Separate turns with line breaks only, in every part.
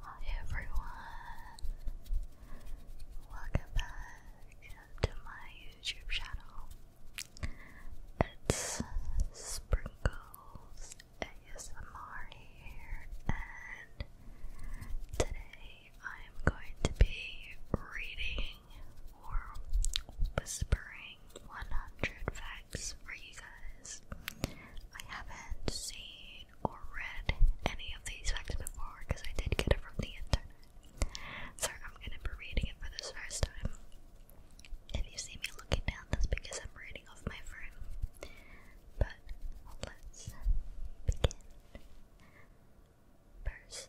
Hi everyone, welcome back to my YouTube channel. It's Sprinkles ASMR here, and today I am going to be reading or whispering 100 facts for you guys. I haven't seen or read any of these facts before because I did get it from the internet. So I'm gonna be reading it for this first time. If you see me looking down, that's because I'm reading off my phone. But let's begin. First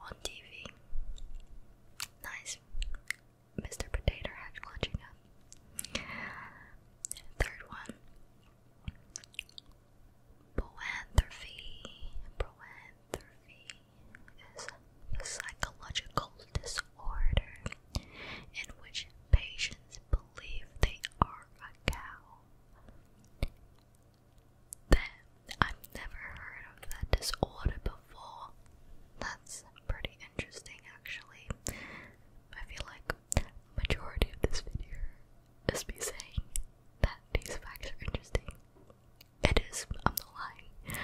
on TV. Nice. Mr. Potato Head clutching up. Third one. Boanthropy. Boanthropy is the psychological disorder in which patients believe they are a cow. That I've never heard of that disorder before. That's pretty interesting, actually. I feel like majority of this video is me saying that these facts are interesting. It on the line.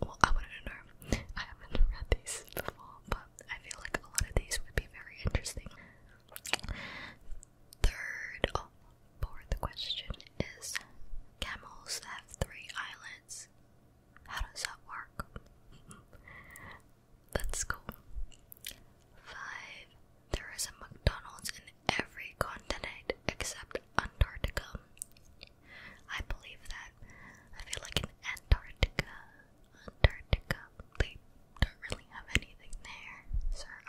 well, I wouldn't know. I haven't read these before, but I feel like a lot of these would be very interesting third, oh, fourth question is camels have three eyelids. How does that work? That's cool. Five. There is a McDonald's in every continent except Antarctica. I believe that. I feel like in Antarctica, Antarctica, they don't really have anything there, so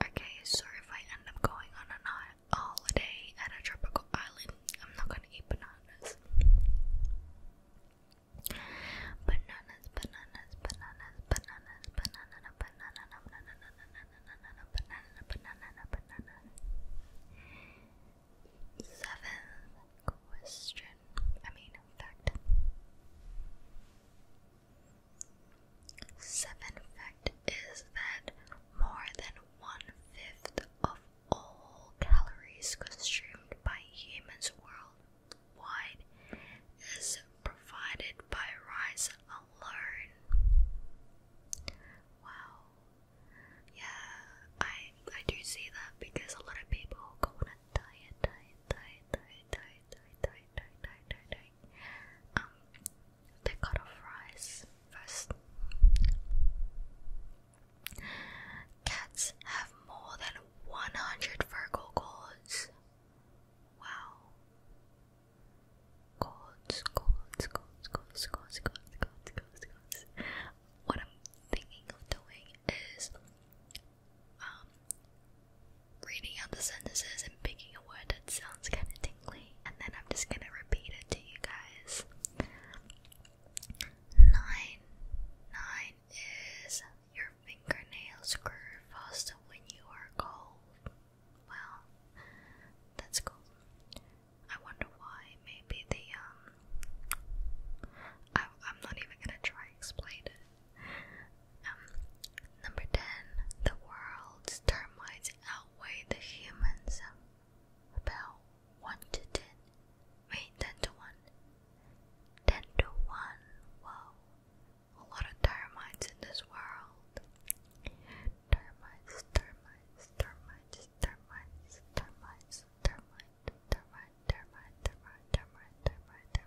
Okay, so if I end up going on a holiday at a tropical island, I'm not gonna eat bananas. Bananas, bananas, bananas, bananas, banana, banana, banana, banana, banana, banana, banana. Seventh question. I mean, fact. Seventh fact is that more than one fifth of all calories consumed by humans worldwide is provided by rice alone. Wow. Yeah, I I do see that because a lot of people tired, tired, tired, tired, tired, tired, tired, tired, tired, tired, tired. Um, packet of rice first. Cats have more than 100 Virgo cords. Wow. Cords, cords, cords, cords, cords, cords, cords, cords, What I'm thinking of doing is um, reading out the sentences and picking a word that sounds kind of tingly, and then I'm just gonna repeat it to you guys. Nine, nine is your fingernails grow faster when you are cold. Well, that's cool. I wonder why. Maybe the um. I, am not even gonna try explain it number 10. The world's termites outweigh the humans about 1 to 10. Wait, 10 to 1. to 1. Wow. A lot of termites in this world. Termites, termites, termites, termites, termites, termite, termite, termite, termite, termite, termite,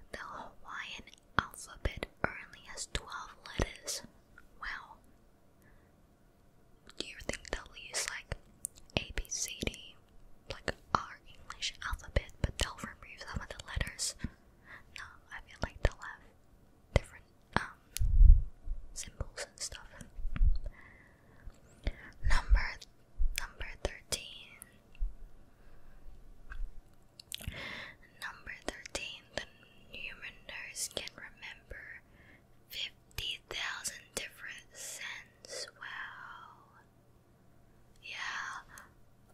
the Hawaiian alphabet only has twelve letters. Wow. Do you think they'll use like A B C D, like our English alphabet, but they'll remove some of the letters? No, I feel like they'll have different um, symbols and stuff. Number number thirteen. Number thirteen. The human nurse can remember fifty thousand different scents. Wow. Yeah,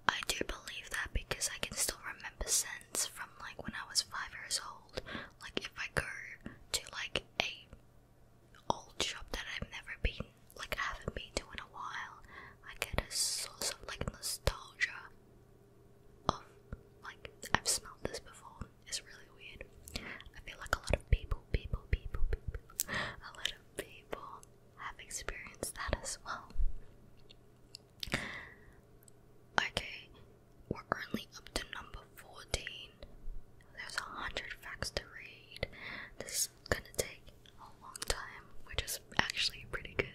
I do believe that because I can still remember scents from like when I was five years old. Like if I go to like a old shop that I've never been, like I haven't been to in a while, I get a source of like nostalgia of like I've smelled this before. It's really weird. I feel like a lot of people, people, people, people, a lot of people have experienced that as well. Okay, we're only up to number 14. There's a hundred facts to read. This is gonna take a long time, which is actually pretty good.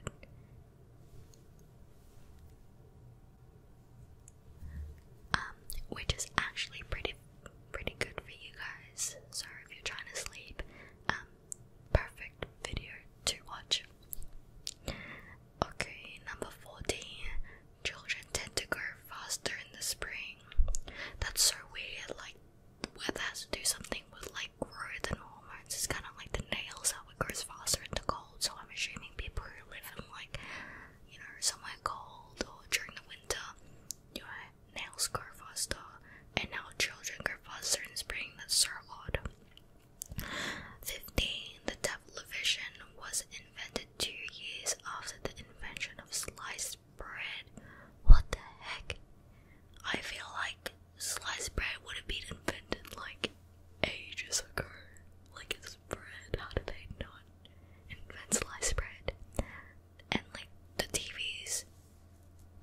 Um, which is actually pretty pretty good for you guys. So if you're trying to sleep, um, perfect video to watch. Okay, number fourteen. Children tend to grow faster in the spring. That's so weird. Like the weather has to do something with like growth and hormones. It's kind of like the nails how it grows faster in the cold. So I'm assuming people who live in like you know somewhere cold or during the winter, your nails grow faster, and our children grow faster in spring than summer. Fifteen, the television was invented two years after the invention of sliced bread. What the heck? I feel like sliced bread would have been invented like ages ago. Like it's bread. How did they not invent sliced bread? and like the TVs.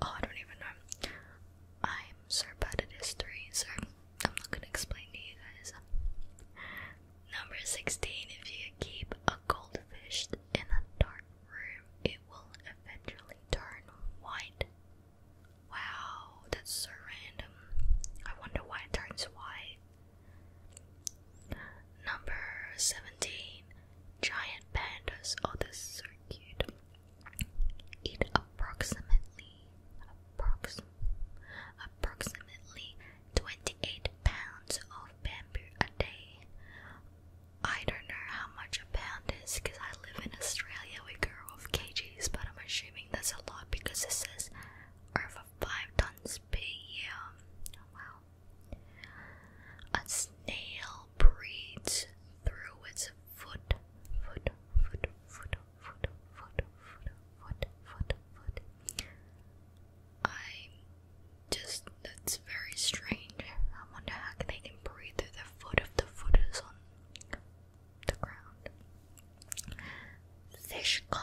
Oh, I don't even know. I'm so bad at history, so I'm not gonna explain to you guys. Number 16. If you keep a goldfish in a dark room, it will eventually turn white. Wow, that's so random. I wonder why it turns white. Number 17 Giant pandas of the circuit eat approximately approx approximately 28 pounds of bamboo a day. I don't know how much a pound is because I live in Australia, we grow off kgs, but I'm assuming that's a lot because it says over 5 tons per year. Wow. A snail breathes through its foot, foot, foot, foot, foot, foot, foot, foot, foot, foot. I just, that's very strange. I wonder how they can breathe through their foot if the foot is on the ground. Fish Wow.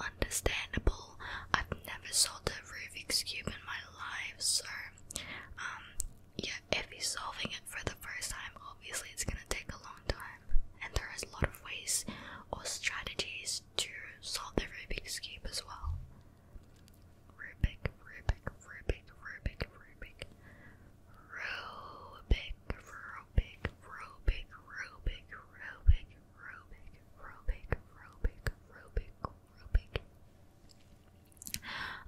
Understandable. I've never solved a Rubik's cube in my life, so um, yeah. If you're solving it for the first time, obviously it's gonna take a long time, and there is a lot of ways or strategies to solve the Rubik's cube as well. Rubik, Rubik, Rubik, Rubik, Rubik, Rubik, Rubik, Rubik, Rubik, Rubik,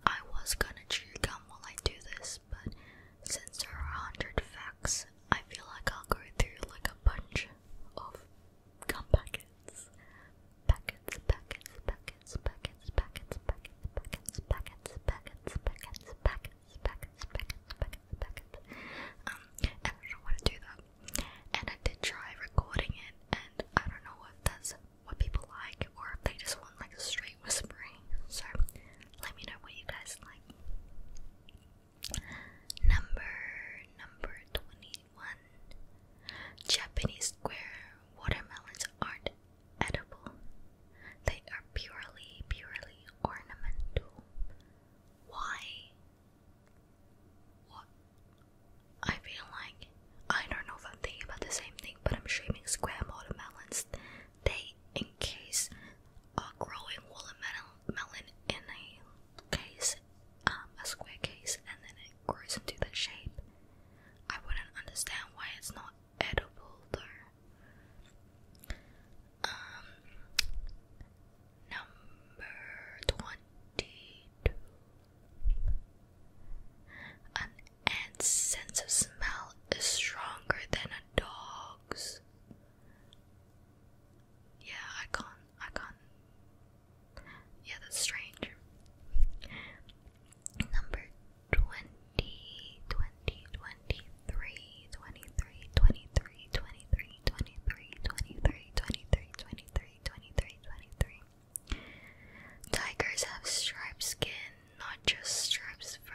I was gonna chew gum while I do this, but since there are a hundred facts, I feel like I'll go through like a bunch of gum packets. Packets, packets, packets, packets, packets, packets, packets, packets, packets, packets, packets, packets, packets, packets, packets. Um, and I don't want to do that and I did try recording it, and I don't know if that's what people like or if they just want like straight whispering. So let me know what you guys like. Number number twenty-one. Japanese square watermelons aren't edible. They are purely, purely ornamental. Why? What? I feel like I don't know if I'm thinking about the same thing, but I'm streaming square watermelons. They encase a growing watermelon melon in a case, um, a square case, and then it grows into that shape. I wouldn't understand why it's not edible though. Um, Number 22. An ant's sense of smell is stronger than a dog's. Yeah, I can't. I can't. Yeah, that's strange. Number 20, 20, 23, 23, 23, 23. 23, Tigers have striped skin, not just stripes fur.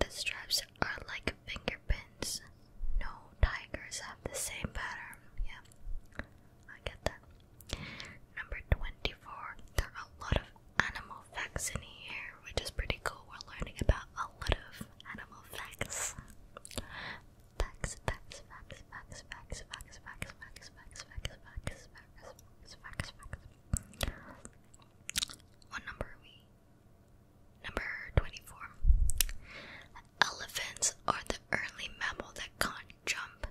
The stripes are like fingerprints. No tigers have the same pattern. Yeah, I get that. Number 24. There are a lot of animal facts in here, which is pretty cool. We're learning about a lot of animal facts. Facts, number Number 24. Elephants are the only mammal that can't jump.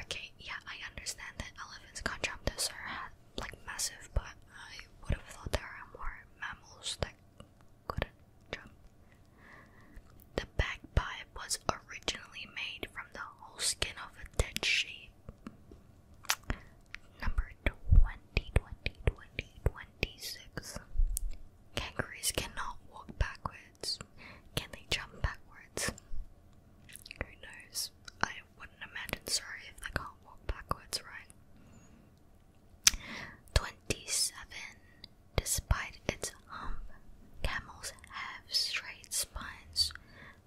Okay, yeah, I understand that elephants can't jump. Those are like massive, but I would have thought there are more mammals that the bagpipe was originally made from the whole skin of a dead sheep. Number 20, Kangaroos cannot walk backwards. Can they jump backwards? Who knows? I wouldn't imagine sorry if they can't walk backwards, right? Twenty-seven. Despite its hump, camels have straight spines.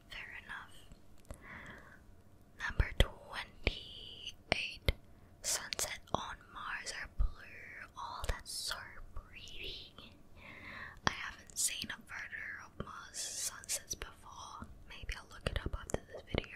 Fair enough. Number twenty-eight. Sunset on Mars are blue. All oh, that sort breathing. I haven't seen a further of Mars sunsets before. Maybe I'll look it up after this video.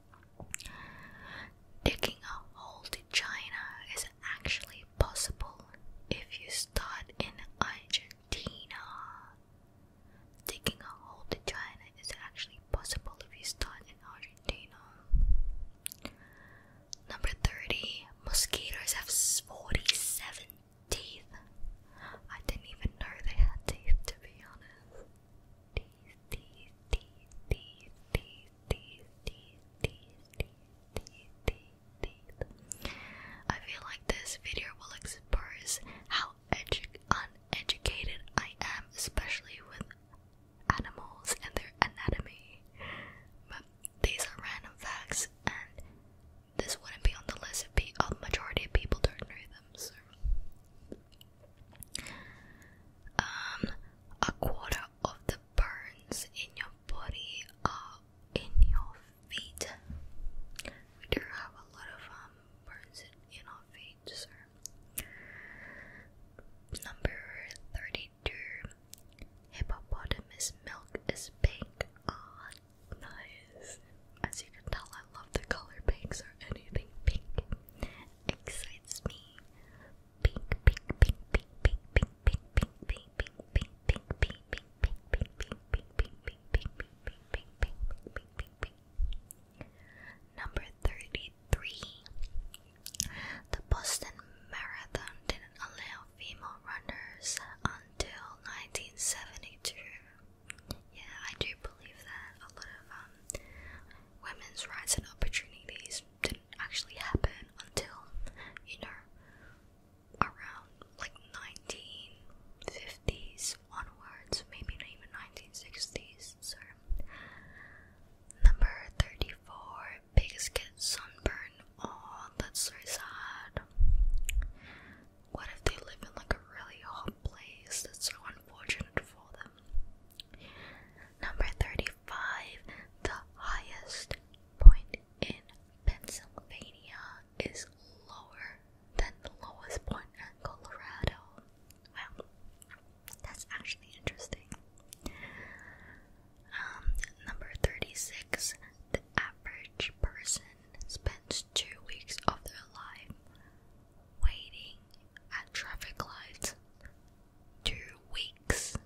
Digging a hole to China is actually possible if you start in Argentina. Digging a hole to China is actually possible if you start in Argentina. Number 30. Mosquitoes have 47 teeth. I didn't even know they had teeth, to be honest. I feel like this video will expose how uneducated I am, especially with animals and their anatomy. But these are random facts, and this wouldn't be on the list if the majority of people don't know them. So, um, a quarter of the burns in your body are in your feet. We do have a lot of um, burns in, our feet, sir. Number 32 Hippopotamus milk is pink. Ah, nice. As you can tell, I love the color pink, so anything pink excites me. Number thirty-three. The Boston Marathon didn't allow female runners until 1972. Yeah, I do believe that a lot of um, women's rights and opportunities didn't actually happen until, you know, around like 1950s onwards, maybe not even 1960s. So, number 34 pigs get sunburned. Oh, that's so sad. What if they live in like a really hot place? That's so unfortunate for them. Number 35, the highest point in Pennsylvania is lower than the lowest point in Colorado. Wow, that's actually interesting. Um, number 36, the average person spends two weeks of their life waiting at traffic lights two weeks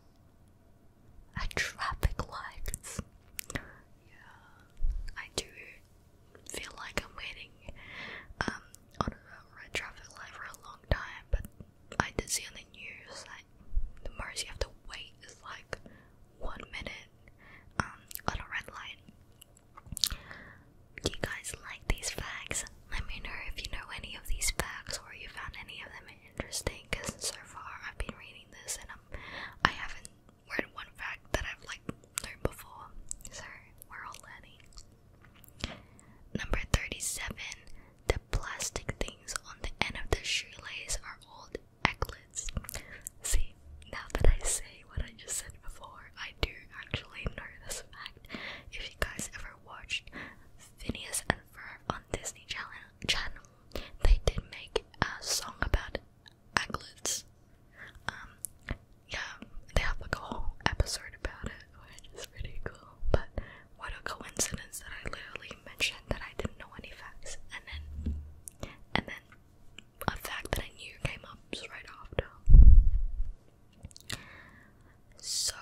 at traffic lights. Yeah, I do feel like I'm waiting um, on a red traffic light for a long time, but I did see on the news like the most you have to wait is like one minute um, on a red light. Do you guys like these flags? Let me know if you know any of these facts or you found any of them interesting because so far I've been reading this and I'm, I haven't read one fact that I've like learned before. So we're all learning. Number 37. The plastic things on the end of the shoelaces are old eglets. See, now that I say what I just said before, I do actually know this fact. If you guys ever watched Phineas and Ferb on Disney Channel, they did make a song about aglets. Um, yeah, they have like a whole episode about it, which is pretty cool. But what a coincidence that I literally mentioned that I didn't know any facts, and then, and then a fact that I knew came up right after. So,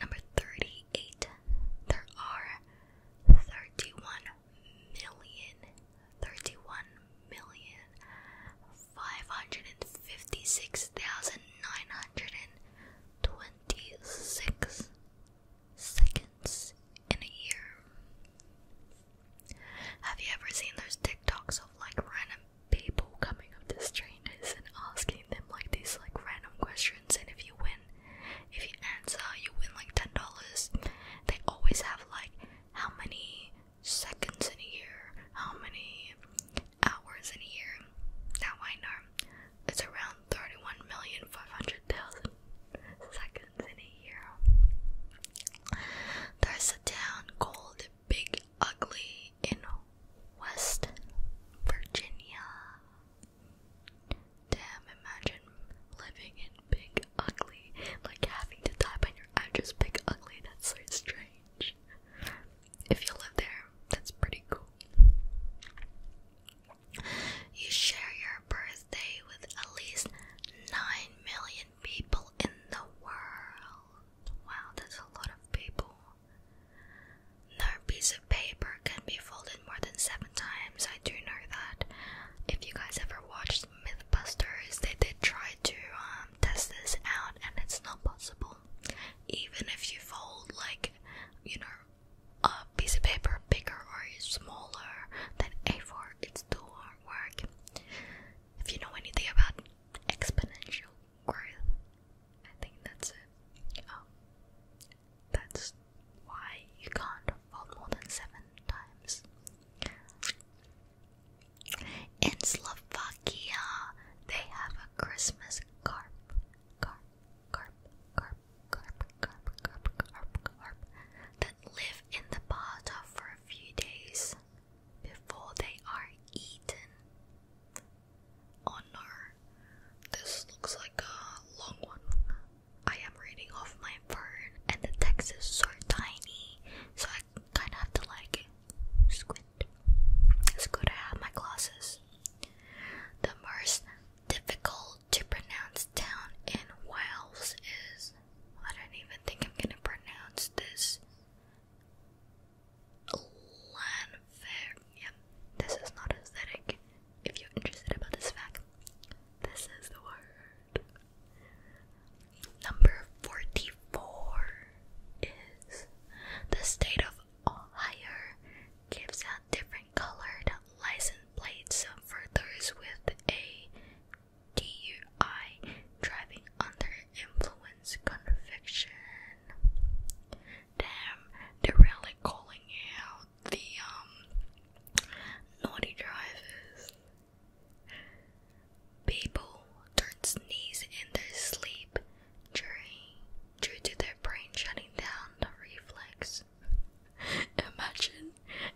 number 38, there are 31 million, 31 million, 556,926 seconds in a year. Have you ever seen those TikToks of like random people coming up the street and asking them like these like random questions and if you win if you answer you win like ten dollars. They always have like how many seconds in a year, how many hours in a year. Now I know it's around thirty one million five hundred thousand seconds in a year. There's a town called Big Ugly in West Virginia. Damn, imagine living in Big Ugly, like having to type on your address Big Ugly, that's so strange. If you live there, that's pretty cool. You share your birthday with at least 9 million people in the world. Wow, that's a lot of people. No piece of paper can be folded more than seven times. I do know that. If you guys ever watched Mythbusters, they did try to um, test this out, and it's not possible. Even if you fold, like, you know, a piece of paper bigger or smaller than A4, it still won't work. If you know anything about exponential Coral. I think that's it. Oh, that's why you can't fall more than seven times. In Slovakia, they have a Christmas carp. Carp, carp, carp, carp, carp, carp, carp, carp, that live in the bathtub for a few days before they are eaten. Oh this looks like a long one. I am reading off my phone, and the text is so tiny, so I kind of have to like squint. It's good I have my glasses. The most difficult to pronounce town in Wales is. I don't even think I'm gonna pronounce this. Lanfair. Yeah, this is not aesthetic. If you're interested about this fact, this is the word. Number 44 is the state of Ohio gives out different colored license plates for those with a DUI driving under influence conviction damn, they're really calling out the um naughty drivers. People don't sneeze in their sleep during due to their brain shutting down the reflex. Imagine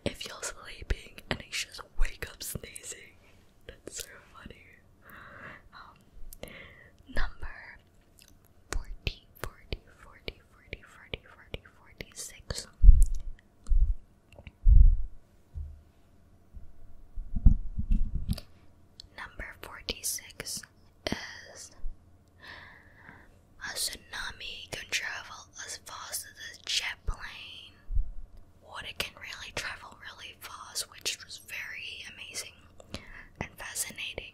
if you're sleeping and you just wake up sneezing. That's so funny. Um, number 40, 46. Number 46 is a tsunami can travel as fast as a jet plane. Water can really travel really fast, which was very amazing and fascinating.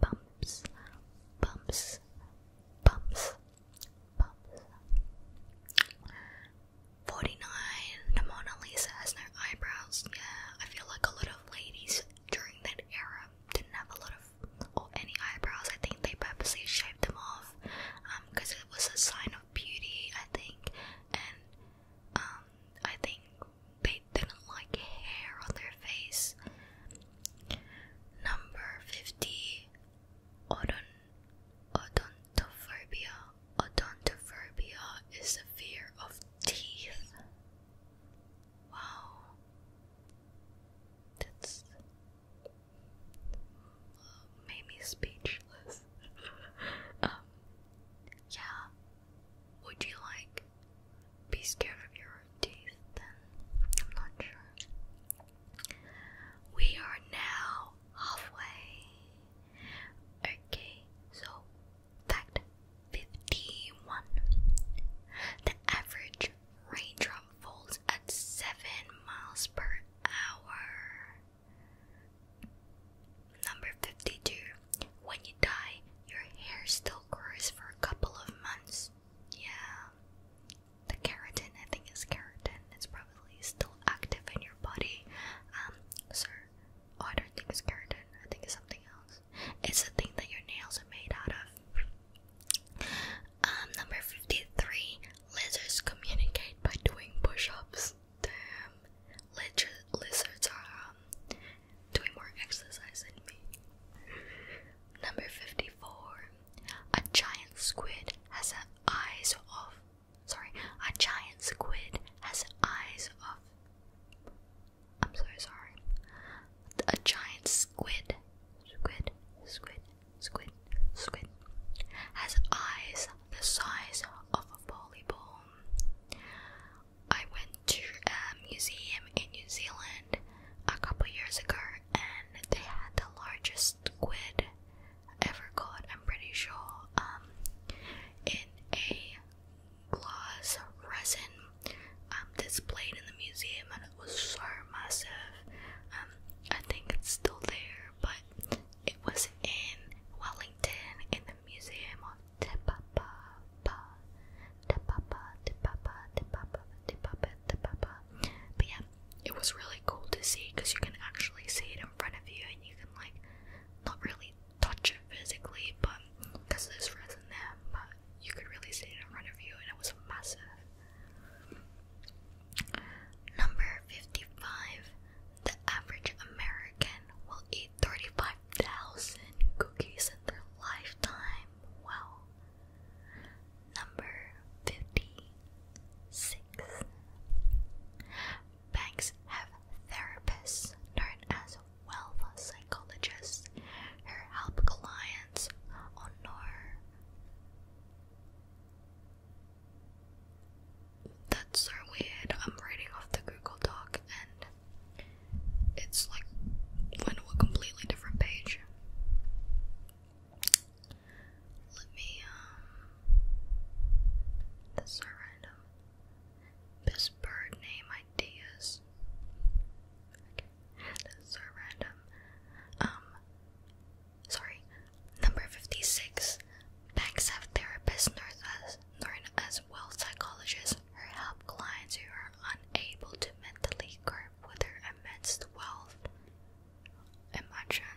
bumps, bumps, bumps, bumps. 49. The Mona Lisa has no eyebrows. Yeah, I feel like a lot of ladies during that era didn't have a lot of or any eyebrows. I think they purposely shaved them off because um, it was a sign of beauty, I think. And um, I think they didn't like hair on their face. Number 50 Odontophobia. Odontophobia is the fear of teeth. Wow. That's made me speechless. Um, yeah. Would you like be scared of your teeth, then I'm not sure. We are now halfway. Okay, so fact 51. The average raindrop falls at 7 miles per hour. Number 52. When you die, your hair still grows for a couple of months. Yeah. The keratin, I think is keratin. It's probably still active in your body. Um, sir. Oh, I don't think it's keratin. I think it's something else. It's the thing that your nails are made out of. Um, number 53. Lizards communicate by doing push-ups. Damn. Lizard, lizards are um, doing more exercise than me. Number 54. 1994, a giant squid has an eyes of sorry, a giant squid has eyes of I'm so sorry. A giant squid, squid, squid, squid, squid has eyes the size of a volleyball. I went to a museum in New Zealand a couple years ago and they had the largest squid ever caught, I'm pretty sure, um, in a glass resin um, displayed in the museum and it was so massive. Um, I think it's still there, but it was in Wellington in the Museum of Te Papa yeah, it was really cool to see because you can actually see it in front of you and you can like not really touch it physically, but because there's resin there, but you could really see it in front of you and it was massive. Number 55. The average American will eat 35,000 cookies in their lifetime. Wow. Number 56. Banks have therapists known as wealth psychologists who help clients honor. That's so weird. I'm reading off the Google Doc and it's like went to a completely different page. Let me, um. This is random. Best bird name ideas. that's so random. Um. Sorry. Number 56. Banks have therapists known as well psychologists who help clients who are unable to mentally cope with their immense wealth. Imagine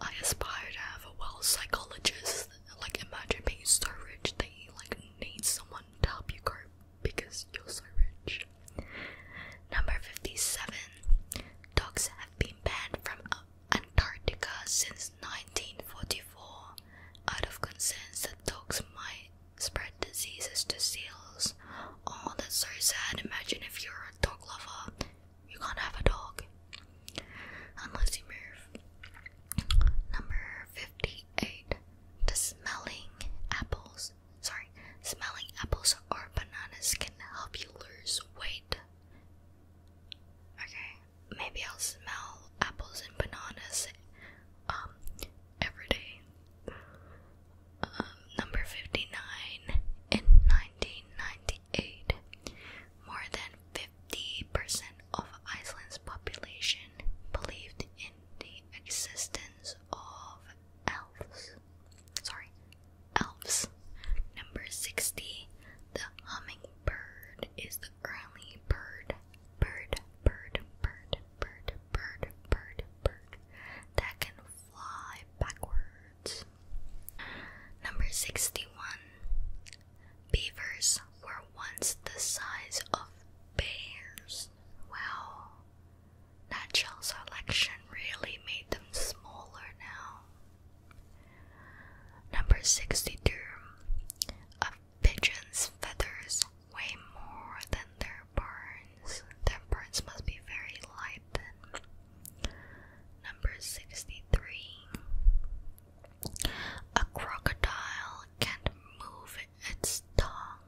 I aspire to have a wealth psychologist. Like imagine being so rich that you like need someone to help you cope because you're so rich. Number fifty-seven. Dogs have been banned from uh, Antarctica since 1944 out of concerns that dogs might spread diseases to seals. Oh, that's so sad. Imagine if you're a dog lover, you can't have a dog unless you move. Number 58. The smelling apples, sorry, smelling apples or bananas can help you lose weight. Okay, maybe I'll smell apples and bananas um, every day. Um, number 59 in 1998, more than 50% of Iceland's population believed in the existence of elves. Sorry, elves. Number 60, the hummingbird is the early bird, bird, bird, bird bird, bird, bird, bird that can fly backwards. Number 61. Beavers were once the size of bears. Well, natural selection really made them smaller now. Number 62. Of pigeon's feathers way more than their burns. Their burns must be very light then. Number 63. A crocodile can't move its tongue.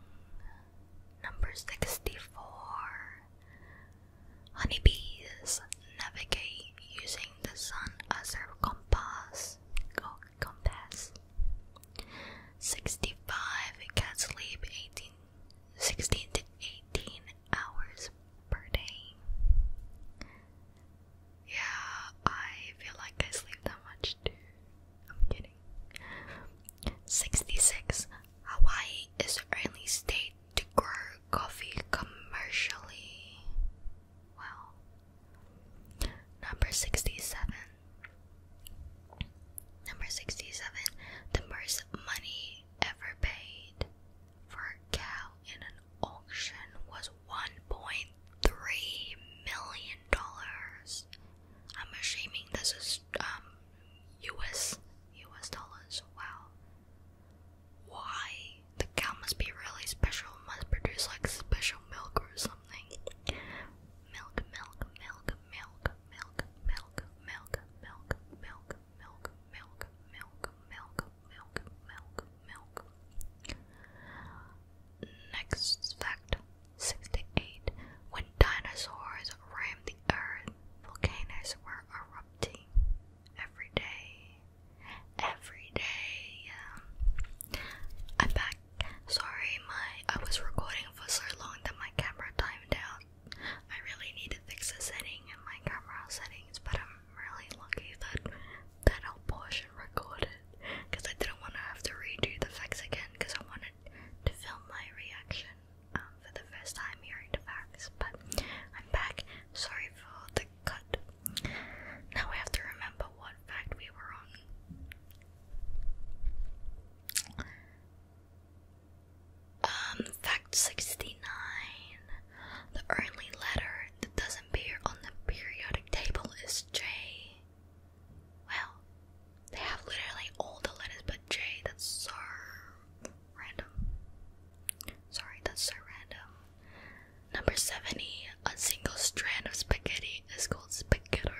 Number 64. Honeybees navigate using the sun as their compass. Go compass. 65. Cats sleep 18 16 to 18 hours per day. Yeah, I feel like I sleep that much too. I'm kidding. 66. Hawaii is the only state to grow coffee commercially. Well, number 67. Number 67. The most money ever paid for a cow in an auction was $1.3 million. I'm assuming this is um, US, US dollars. Wow. Why? The cow must be really special, must produce like special milk or something. Milk, milk, milk, milk milk, milk, milk, milk, milk, milk, milk, milk, milk, milk, milk, milk. Next fact 68. When dinosaurs roamed the earth, volcanoes were erupting every day. Every day. I'm back. Sorry, my I was recording for so long that my camera timed out. I really need to fix a setting in my camera settings, but I'm really lucky that that whole portion recorded because I didn't want to have to redo the facts again because I wanted to film my reaction um, for the first time hearing the facts. But I'm back. Sorry for the cut. Now we have to remember what fact we were on. Um, fact 69. The only letter that doesn't appear on the periodic table is J. Well, they have literally all the letters but J. That's so random. Sorry, that's so random. Number 70. A single strand of spaghetti is called spaghetto.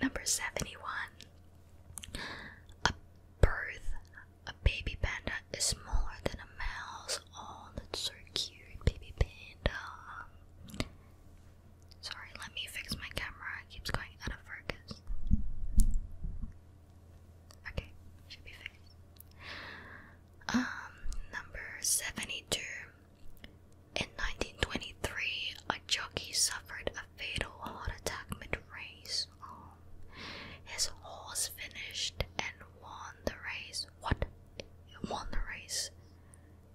Number 71. A birth, a baby panda is smaller than a mouse. Oh, that's so cute, baby panda. Sorry, let me fix my camera. It keeps going out of focus. Okay, should be fixed. Um, number 72. In 1923, a jockey suffered a fatal heart attack mid race. Um, his horse finished and won the race. What? won the race,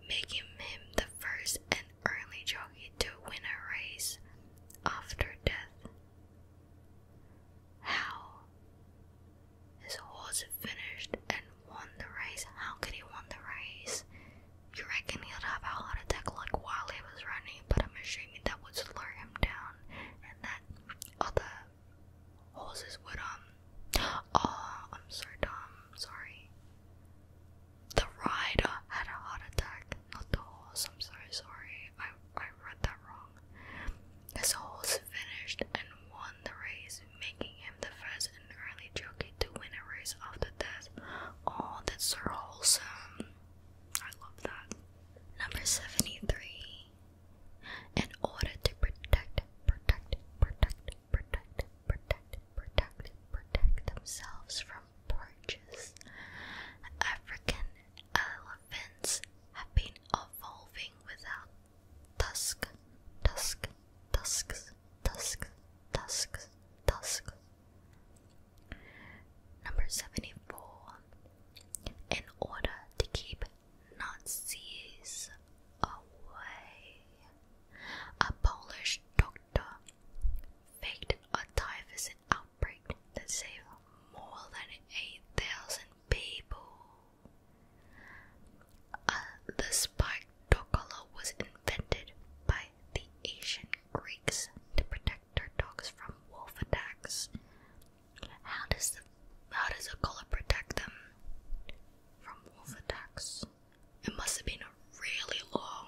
making him the first and only jockey to win a race after death. How? His horse finished and won the race. How could he won the race? You reckon he'd have a heart attack while he was running, but I'm that would slow him down and that other horses would, um. Oh, I'm so dumb, sorry. The rider had a heart attack, not the horse. I'm sorry, sorry. I, I read that wrong. This horse finished and won the race, making him the first and only jockey likely to win a race after death, all oh, that's so wholesome. I love that. Number 73. In order to protect, protect, protect, protect, protect, protect, protect themselves from poachers, African elephants have been evolving without tusk, tusk, tusks, tusks, tusks, tusks, Number 74. In order to keep Nazis away, a Polish doctor faked a typhus outbreak that saved more than 8,000 people. Uh, the spike collar was invented by the ancient Greeks to protect their dogs from wolf attacks. How does the how does a collar protect them from wolf attacks? It must have been a really long,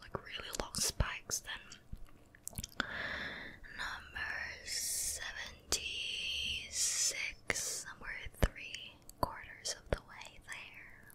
like really long spikes then. Number seventy six, somewhere three quarters of the way there.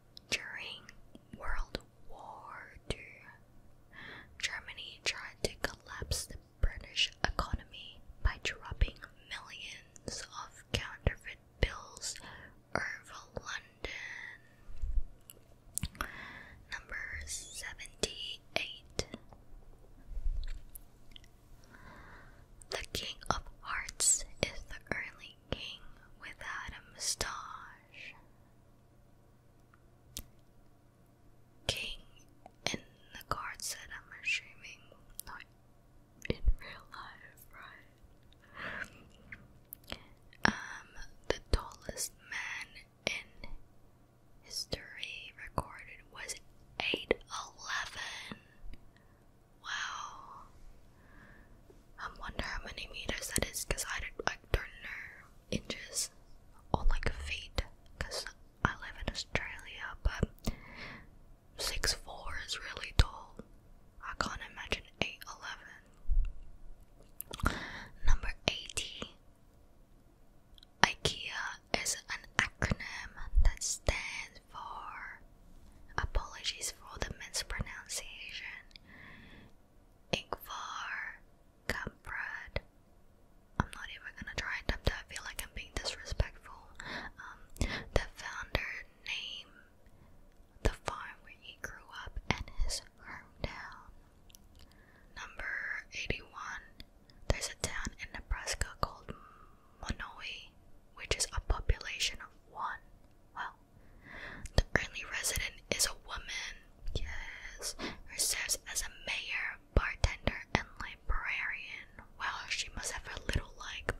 during World War II, Germany tried to collapse the British economy by dropping millions of counterfeit bills over London. Number 78. The King of Hearts is the king without a mustache, king in the cards that I'm assuming not in real life, right? Um, the tallest man in history recorded was 8'11. Wow. I wonder how many meters that is because I, I don't know inches or like feet because I live in Australia but six four is really tall. I can't imagine 8'11. Number 80 IKEA is an acronym that stands for Apologies for the mispronunciation. Igvar, Camprad. I'm not even gonna try and attempt it. I feel like I'm being disrespectful. Um, the founder name the farm where he grew up and his hometown. Number 81. There's a town in Nebraska called Monoe, which is a population of one. Well, the only resident is a woman, yes, who serves as a mayor, bartender, and librarian. Well, she must have a little, like,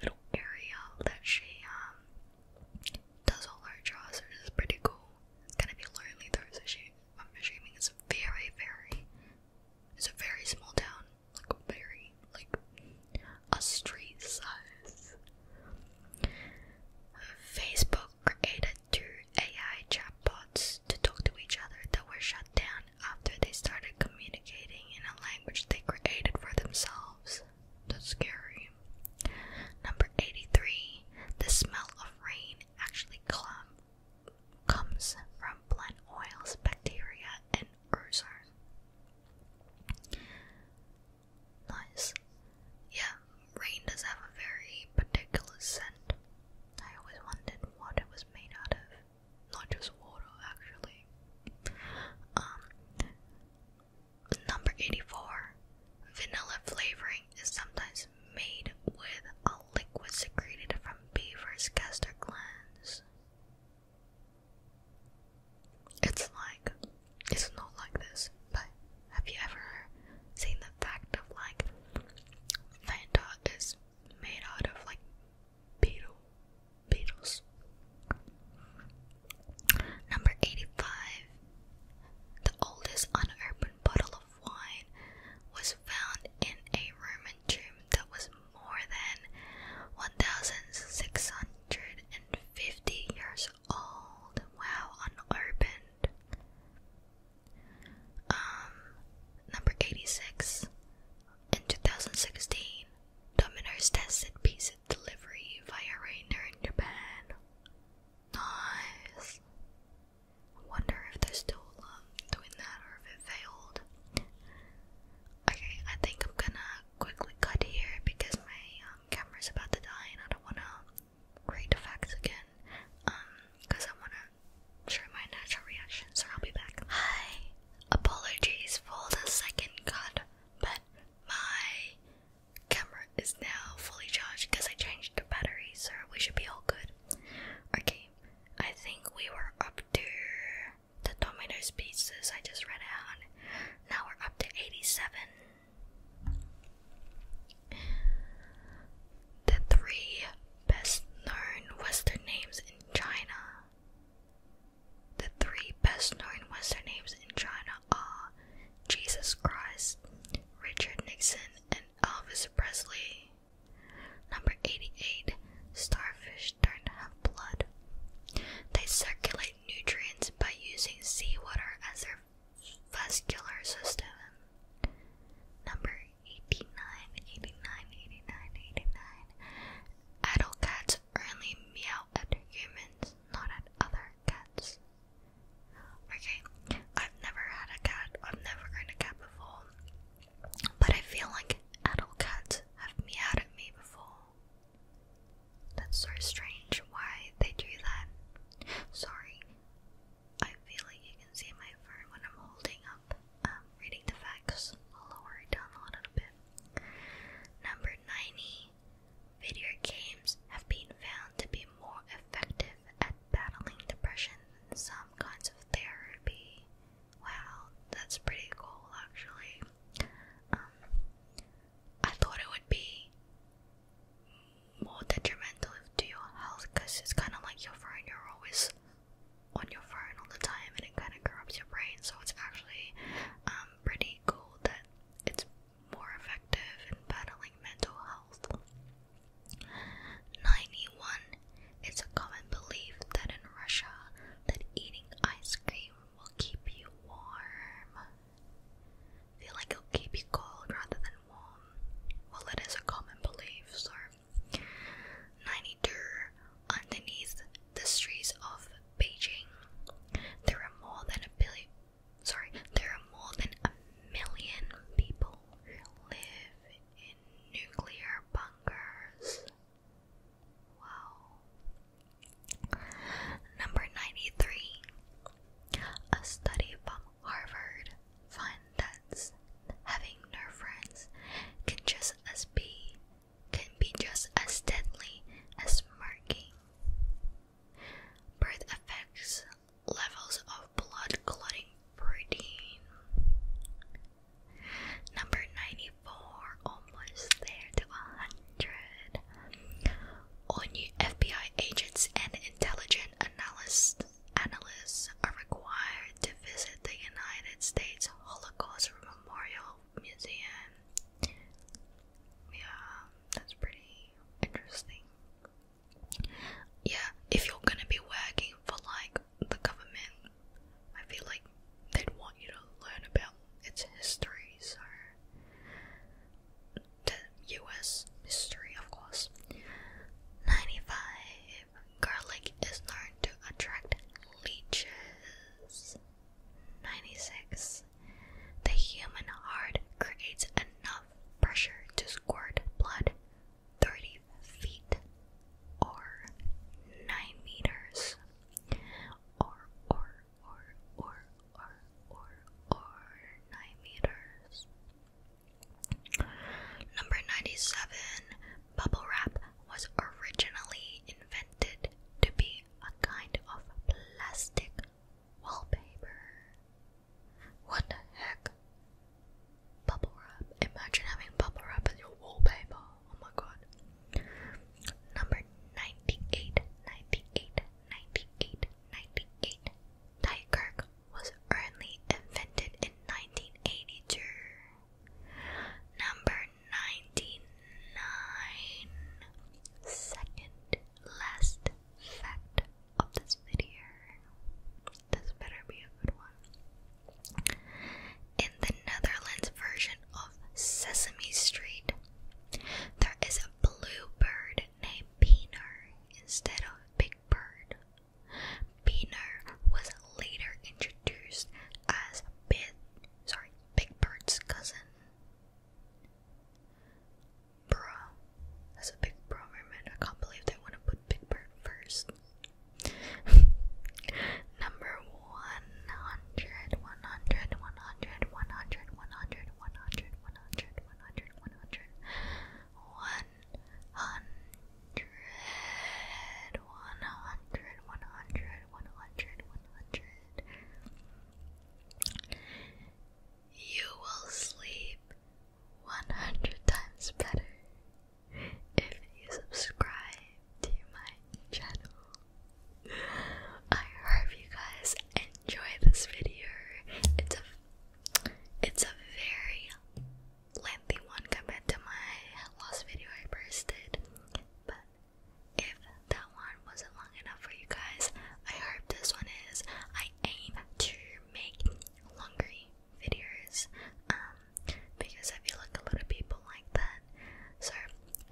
little area that she, um, does all her draws, which is pretty cool. It's gonna be lonely though, so she, I'm assuming it's a very, very, it's a very small town. Like, very, like, a street size. Facebook created two AI chatbots to talk to each other that were shut down after they started communicating in a language they created for themselves. That's scary. Number 83. The smell of rain actually comes from plant oils, bacteria, and ozone. Nice. Yeah, rain does have a very particular scent. I always wondered what it was made out of. Not just water, actually. Um, number 84. Vanilla flavoring is sometimes made with a liquid secreted from beavers' castor glands. It's like, it's not like this, but have you ever seen the fact of like Fanta is made out of like beetle, beetles? Number 85. The oldest unopened bottle of wine was found in a Roman tomb that was more than 1,650 years old, wow, unopened. Um, number 86. In 2016, Domino's tested pizza delivery via Rainer in Japan. Nice. wonder if they're still doing that or if it failed. Okay, I think I'm gonna quickly cut here because my um, camera is about to die and I don't want to create effects again because um, I want to show my natural reactions. so I'll be back. Hi! Apologies for the second cut, but my camera is now fully charged because I changed the battery, so we should be all good. Okay, I think we were up to the Domino's pieces I just read out. Now we're up to 87. The three best known Western names in China. The three best known Western names in China are Jesus Christ, Richard Nixon, and Elvis Presley. Number 88. Starfish don't have blood. They circulate nutrients by using seawater as their vascular system. Number 89, Adult cats only meow at humans, not at other cats. Okay, I've never had a cat, I've never owned a cat before, but I feel like adult cats have meowed at me before. That's so strange why they do that. Sorry, I feel like you can see my phone when I'm holding up, um, reading the facts. I'll lower it down a little bit. Number 90. Video games have been found to be more effective at battling depression than some kinds of therapy. Wow, that's pretty cool actually. Um, I thought it would be more detrimental to your health because it's kind of like your phone, you're always on your phone all the time and it kind of corrupts your brain. So it's actually um, pretty cool that it's more effective in battling mental health. 91. It's a common belief that in Russia that eating ice cream will keep you warm. feel like it'll keep you cold rather than warm. Well, it is a common belief, so. 92. Underneath the streets of Beijing, there are more than a billion. Sorry, there are more than a million people who live in nuclear bunkers. Wow. Number 93. A study from Harvard finds that having no friends can just as be can be just as deadly as smirking. Birth affects levels of blood clotting protein. Number 94, almost there to 100. All new FBI agents and intelligence analysts, analysts are required to visit the United States Holocaust Memorial Museum. Yeah, that's pretty interesting. Yeah, if you're gonna be working for like the government, I feel like they'd want you to learn about its history, the US history, of course. 95. Garlic is known to attract leeches. 96. The human heart creates enough pressure to squirt blood 30 feet or 9 meters or or or, or, or, or, or 9 meters. Number 97. Bubble wrap was originally invented to be a kind of plastic wallpaper. What the heck? Bubble wrap. Imagine having bubble wrap as your wallpaper. Oh my god. Number 98, 98, 1998 98. was only invented in 1982. Number 99. Second last fact of this video. This better be a good one. In the Netherlands version of Sesame Street, there is a blue bird named Pienaar instead of Big Bird. Pienaar was later introduced as Big, sorry, Big Bird's cousin. Bro, that's a big bro moment. I can't believe they want to put Big Bird first. Number 100, hundred, one hundred, one hundred, one hundred, one hundred, one hundred. You will sleep one hundred times better if you subscribe to my channel. I hope you guys enjoy this video. It's a it's a very lengthy one compared to my last video I posted, but if that one wasn't long enough for you guys, I hope this one is. I aim to make longer videos, um, because I feel like a lot of people like that. So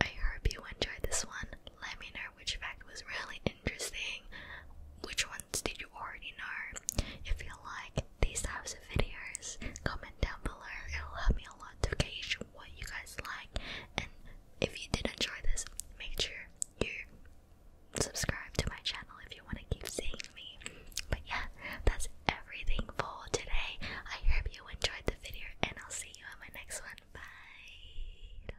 I hope you enjoyed this one let me know which fact was really interesting, which ones did you already know. If you like these types of videos, comment down below, it'll help me a lot to gauge what you guys like. And if you did enjoy this, make sure you subscribe to my channel if you want to keep seeing me. But yeah, that's everything for today. I hope you enjoyed the video, and I'll see you in my next one. Bye.